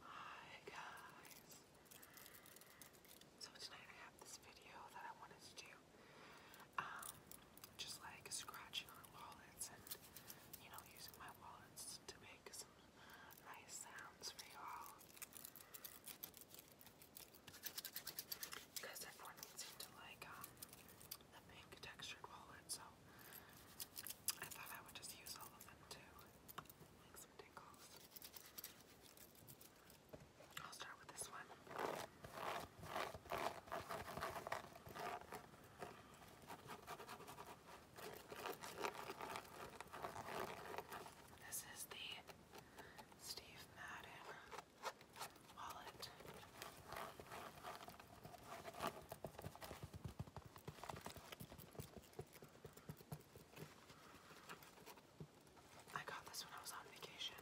Hi guys. So tonight I have this video that I wanted to do. Um, just like scratching on wallets and you know using my wallets to make some nice sounds for y'all. Because everyone seemed to like um, the pink textured wallet, so I thought I would just use all of them too. Like some tinkles. I'll start with this one. This is the Steve Madden wallet. I got this when I was on vacation.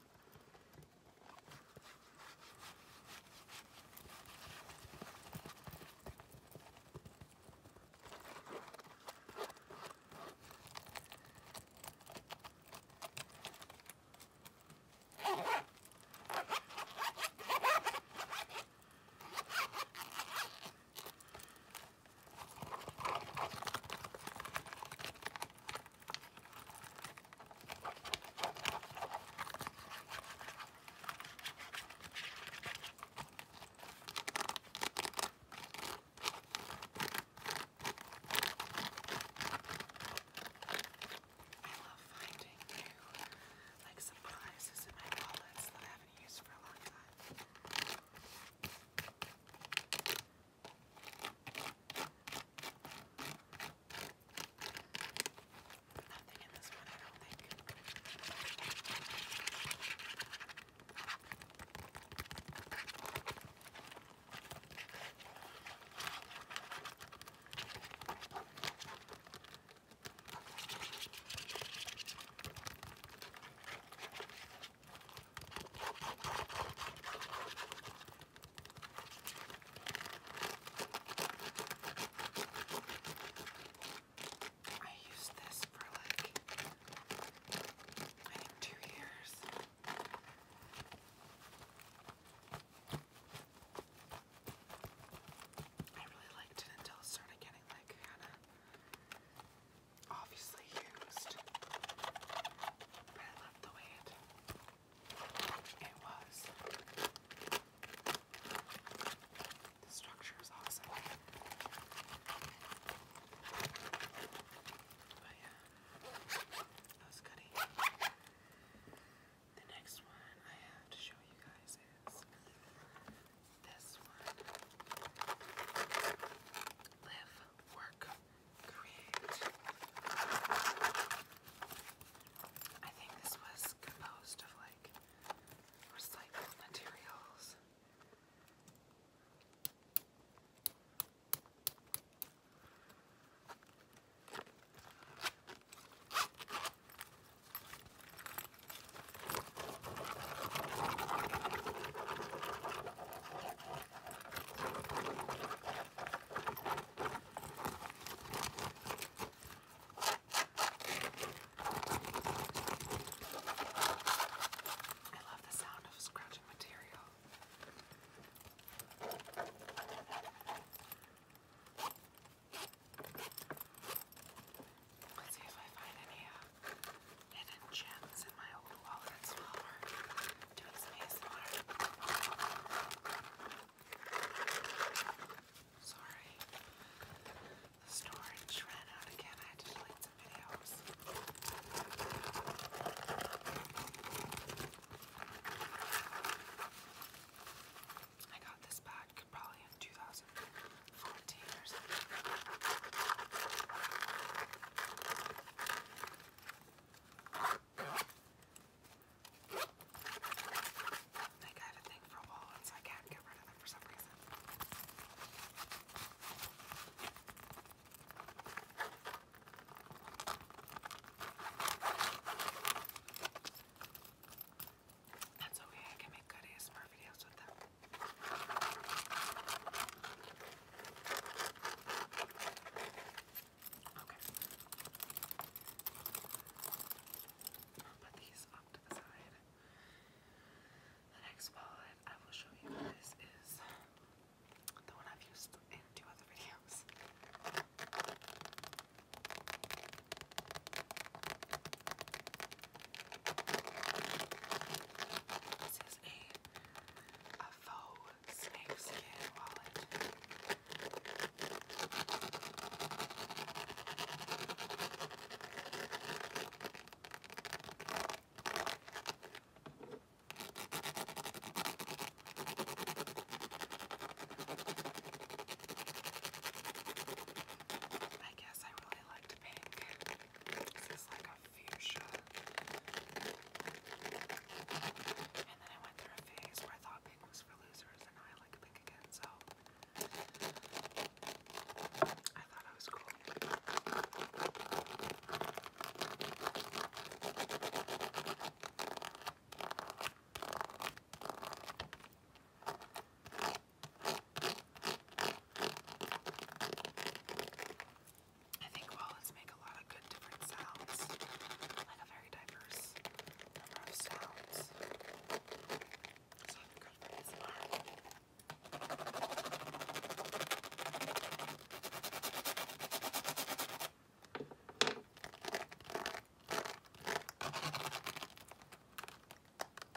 I love finding new like surprises in my wallets that I haven't used for a long time. Nothing in this one, I don't think. I used this for like I think two years. I really liked it until it started getting like kind of obviously used. But I loved the way it it was. The structure is awesome. But yeah, that was The next one I have to show you guys is this one. Live, work, create. I think this was composed of like recycled materials. I love the sound of scratching material. Let's see if I find any uh, hidden gems in my old wallets while we're doing some ASMR. Sorry, the storage ran out again. I had to delete some videos. I got this back probably in 2014 or something. Like I have a thing for wallets, I can't get rid of them for some reason. That's okay, I can make good ASMR videos with them. Okay. I'll put these off to the side. The next wallet I will show you guys is the one I've used in two other videos. This is a, a faux snake wallet. I guess I really really like pink. This is like a fuchsia. And then I went through a phase where I thought pink was for losers, and I like pink again, so I thought I was cool. I think wallets make a lot of good different sounds, like a very diverse number sounds. So I think good for ASMR. I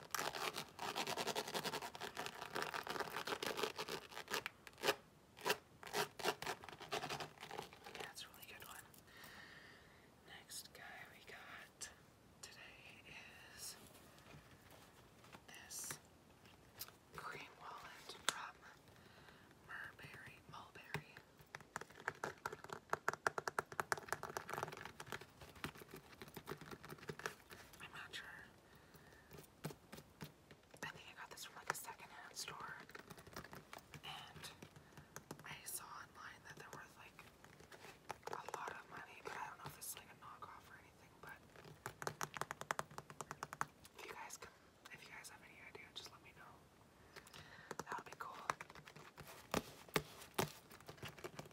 Yeah, it's a really good one. Next guy we got today is this cream wallet from Murberry Mulberry. I'm not sure. I think I got this from like a secondhand store, and I saw online that they're worth like a lot of money, but I don't know if it's like a knockoff or anything. But if you guys if you guys have any idea, just let me know. That would be cool.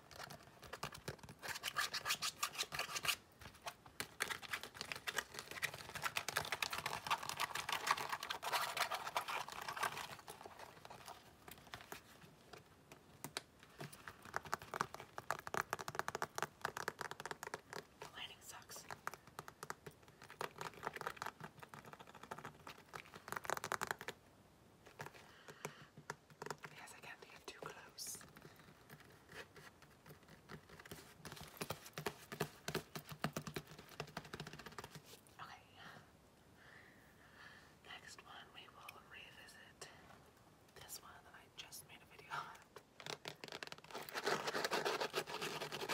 The lighting sucks. I can't Okay. Next one, we will revisit this one that I just made a video on.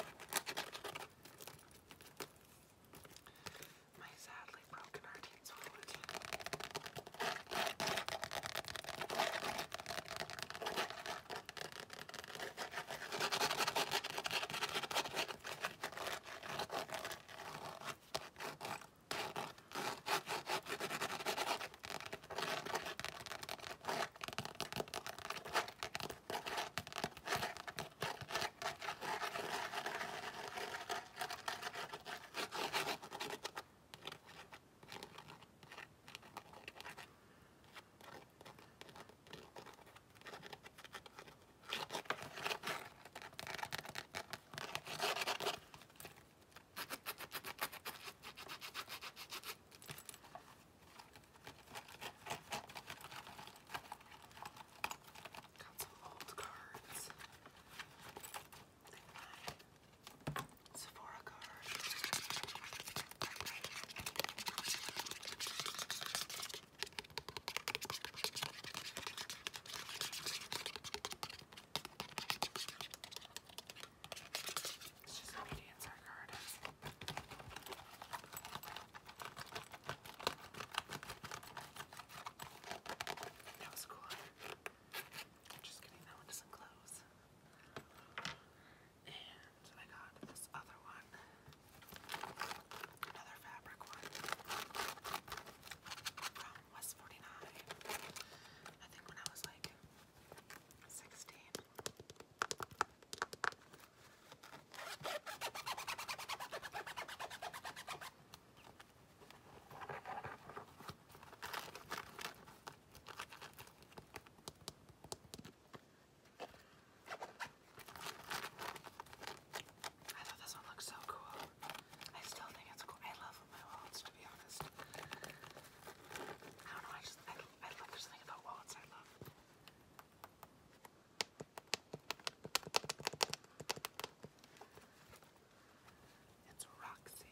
My sad badly broken Arcane Sword. Got some old cards. Sephora card. It's just how many answer card is. That was cool. Just kidding, that one doesn't close. And I got this other one. Another fabric one. From West 49. I think when I was like 16. I thought this one looked so cool. I still think it's cool. I love my wallets, to be honest. I don't know, I just, I, I love, there's something about wallets I love. It's Roxy.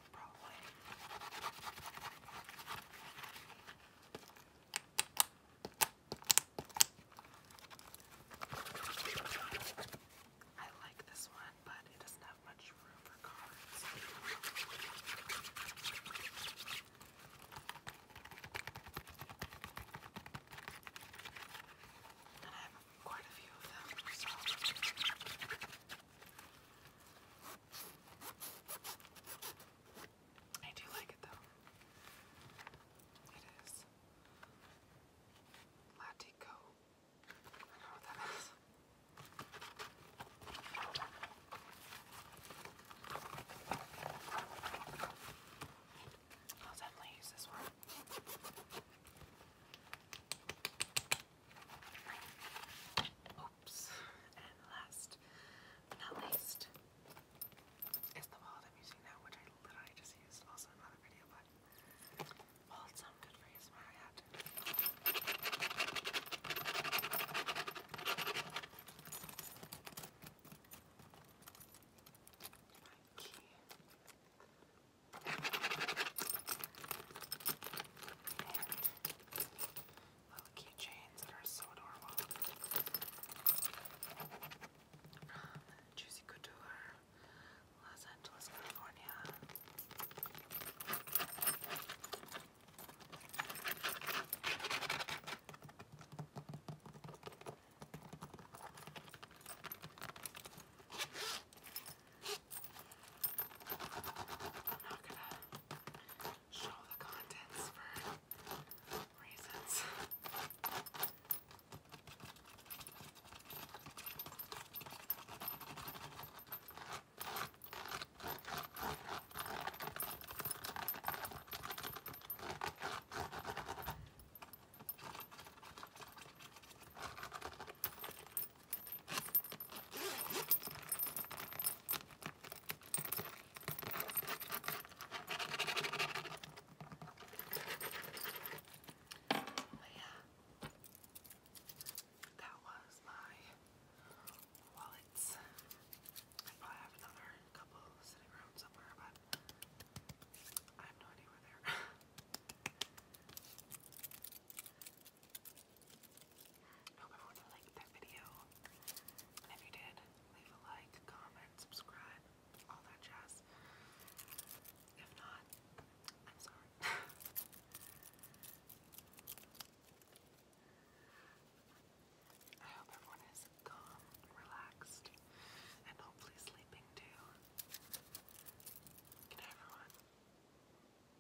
probably. I like this one, but it doesn't have much room for cards. I have quite a few of them, I do like it though. It is Latico. I don't know what that is. I'll definitely use this one. Oops. And last but not least is the wallet I'm using now, which I literally just used also in another video, but it's some good for ASMR, I had to. Little oh, keychains that are so adorable. From Juicy Couture, Los Angeles, California. I'm not gonna show the contents for reasons. But yeah, that was my wallets. I probably have another couple sitting around somewhere, but I have no idea where they're. I hope everyone liked that video. And if you did, leave a like, comment, subscribe, all that jazz. If not, I'm sorry. I hope everyone is calm, relaxed, and hopefully sleeping too. Good night, everyone.